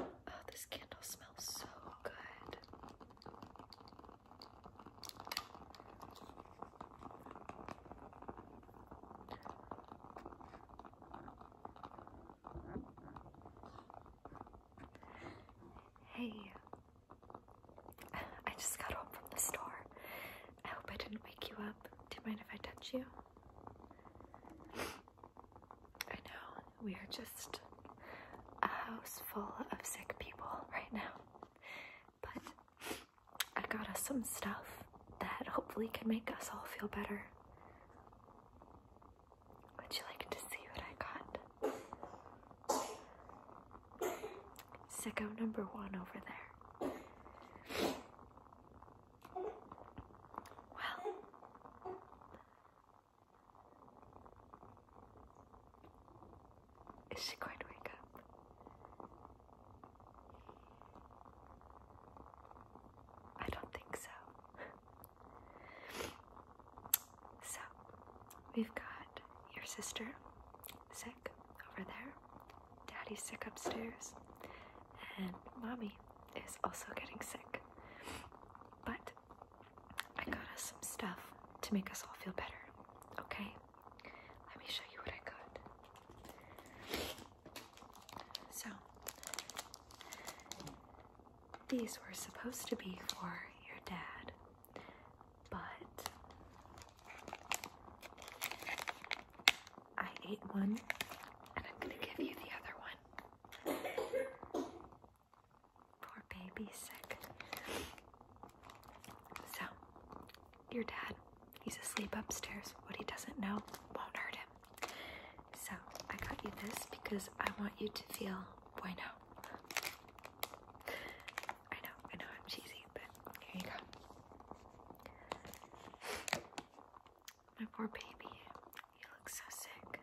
Oh, this candle smells so good. Hey, I just got home from the store. I hope I didn't wake you up. Do you mind if I touch you? I know we are just a house full of sick people right now, but I got us some stuff that hopefully can make us all feel better. Would you like to see what I got? Sicko number one over there. Well, is she going to wake up? I don't think so. So we've got your sister sick over there, daddy's sick upstairs, and mommy is also getting sick. But I got us some stuff to make us all feel better, okay? Let me show you what I got. So, these were supposed to be for your dad, but I ate one and I'm gonna give you the other one. Poor baby's sick. So, your dad, he's asleep upstairs. What he doesn't know won't hurt him. So, I got you this because I want you to feel bueno. I know, I know I'm cheesy, but here you go. My poor baby, you look so sick.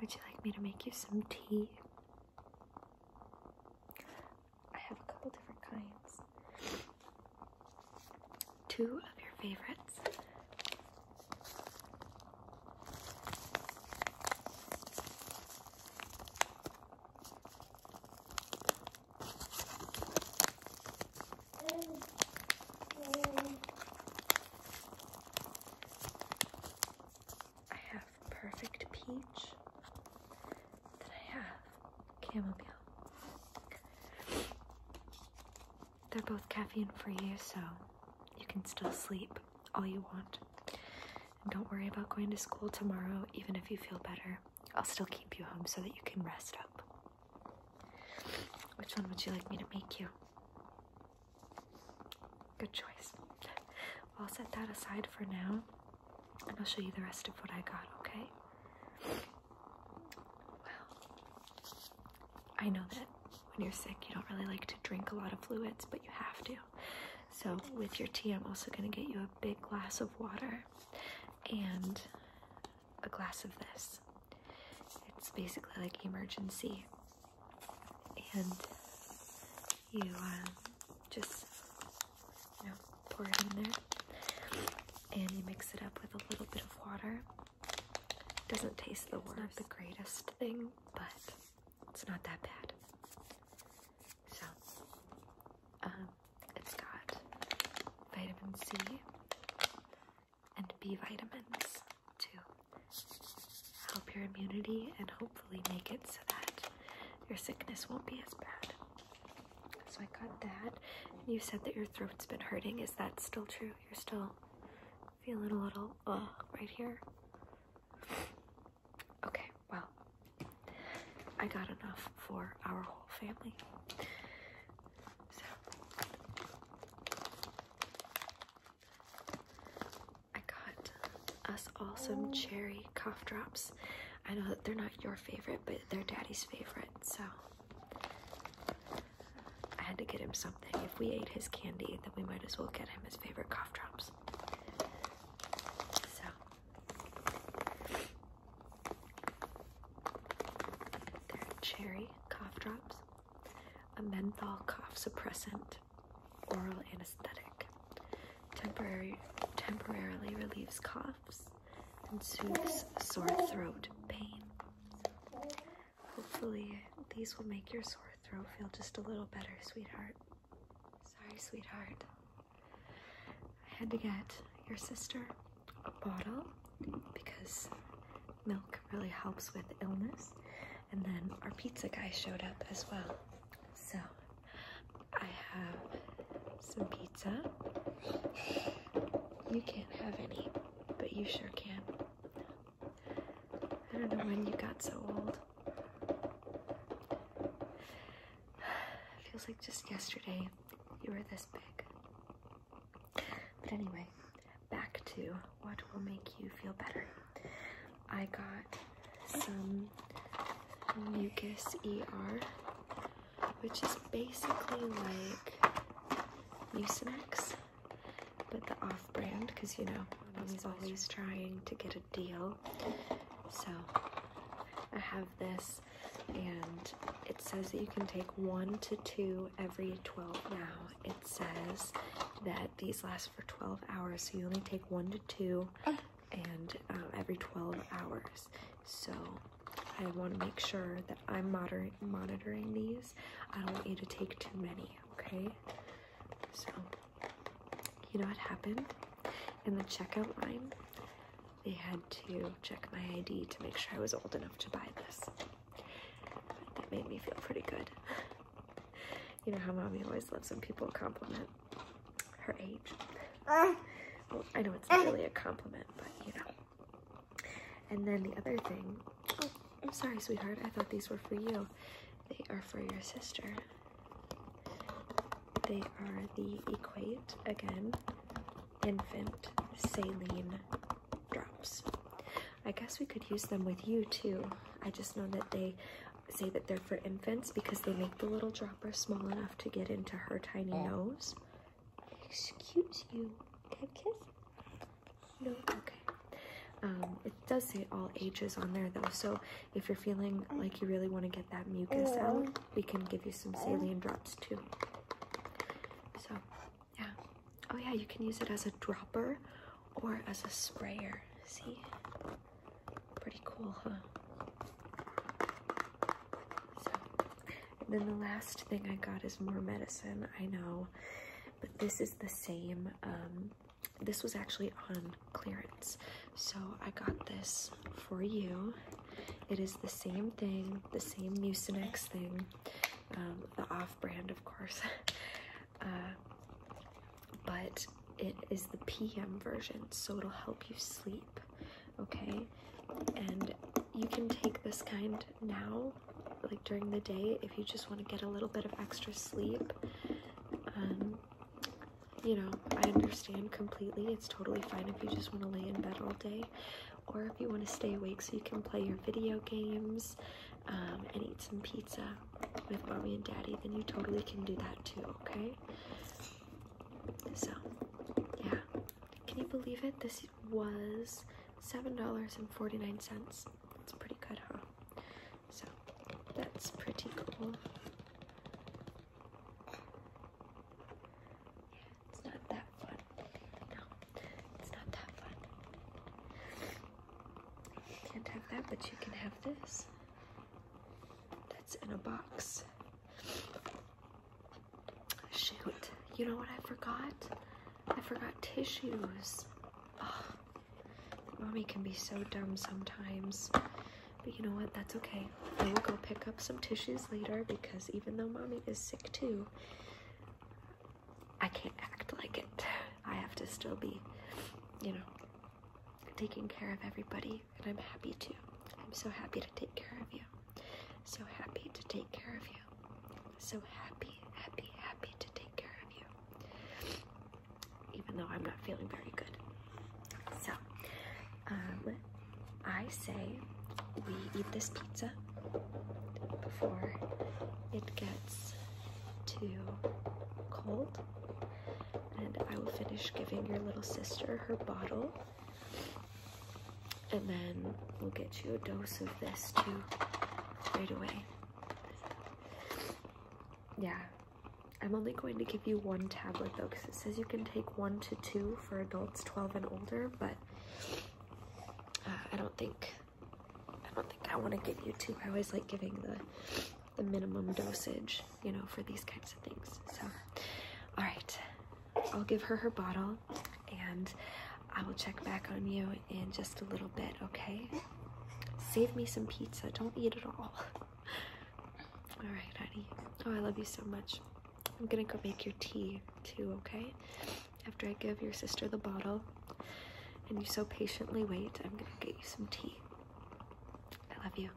Would you like me to make you some tea? I have a couple different kinds. Two of your favorites. I have perfect peach. Then I have chamomile. They're both caffeine free, so you can still sleep all you want. And don't worry about going to school tomorrow, even if you feel better. I'll still keep you home so that you can rest up. Which one would you like me to make you? Good choice. I'll set that aside for now and I'll show you the rest of what I got, okay? Well, I know that when you're sick, you don't really like to drink a lot of fluids, but you have to. So, with your tea, I'm also going to get you a big glass of water and a glass of this. It's basically like emergency. And you um, just, you know, pour it in there and you mix it up with a little bit of water doesn't taste the worst. not the greatest thing, but it's not that bad. So, um, it's got vitamin C and B vitamins to help your immunity and hopefully make it so that your sickness won't be as bad. So I got that. you said that your throat's been hurting. Is that still true? You're still feeling a little uh right here. Okay, well, I got enough for our whole family. So I got us all some oh. cherry cough drops. I know that they're not your favorite, but they're daddy's favorite, so I had to get him something. If we ate his candy, then we might as well get him his favorite cough drops. So are cherry cough drops, a menthol cough suppressant, oral anesthetic, temporary temporarily relieves coughs and soothes sore throat pain. Hopefully, these will make your sore throat feel just a little better, sweetheart. Sorry, sweetheart. I had to get your sister a bottle because milk really helps with illness. And then our pizza guy showed up as well. So I have some pizza. You can't have any, but you sure can. I don't know when you got so old. It feels like just yesterday you were this big. But anyway, back to what will make you feel better. I got some mucus ER, which is basically like Mucinex, but the off brand because you know i mommy's always trying to get a deal. So I have this, and it says that you can take one to two every 12 now. It says that these last for 12 hours, so you only take one to two oh. and um, every 12 hours. So I want to make sure that I'm monitoring these. I don't want you to take too many, okay? So, you know what happened? In the checkout line, they had to check my ID to make sure I was old enough to buy this. That made me feel pretty good. you know how mommy always loves when people compliment her age. Ah. I know it's really a compliment, but you know, and then the other thing, oh, I'm sorry, sweetheart. I thought these were for you. They are for your sister. They are the Equate, again, infant saline drops. I guess we could use them with you too. I just know that they say that they're for infants because they make the little dropper small enough to get into her tiny oh. nose. Excuse you. Can I kiss? No? Okay. Um, it does say all ages on there though, so if you're feeling like you really want to get that mucus out, we can give you some saline drops too. So, yeah. Oh yeah, you can use it as a dropper or as a sprayer. See? Pretty cool, huh? then the last thing I got is more medicine. I know, but this is the same. Um, this was actually on clearance, so I got this for you. It is the same thing, the same Mucinex thing, um, the off-brand, of course. Uh, but it is the PM version, so it'll help you sleep. Okay, and you can take this kind now like during the day if you just want to get a little bit of extra sleep um, you know i understand completely it's totally fine if you just want to lay in bed all day or if you want to stay awake so you can play your video games um, and eat some pizza with mommy and daddy then you totally can do that too okay so yeah can you believe it this was $7.49. That's pretty good, huh? So that's pretty cool. it's not that fun. No, it's not that fun. You can't have that, but you can have this. That's in a box. Shoot, you know what I forgot? I forgot tissues. mommy can be so dumb sometimes. But you know what? That's okay. I will go pick up some tissues later because even though mommy is sick too, I can't act like it. I have to still be, you know, taking care of everybody. And I'm happy to. I'm so happy to take care of you. So happy to take care of you. So happy, happy, happy to take care of you. Even though I'm not feeling very good. So, um, I say we eat this pizza before it gets too cold. And I will finish giving your little sister her bottle and then we'll get you a dose of this too right away. Yeah. I'm only going to give you one tablet though, because it says you can take one to two for adults 12 and older, but uh, I don't think I don't think I want to give you two. I always like giving the the minimum dosage, you know, for these kinds of things. So, all right. I'll give her her bottle and I will check back on you in just a little bit, okay? Save me some pizza. Don't eat it all. all right, honey. Oh, I love you so much. I'm gonna go make your tea too, okay? After I give your sister the bottle and you so patiently wait, I'm gonna get you some tea. I love you.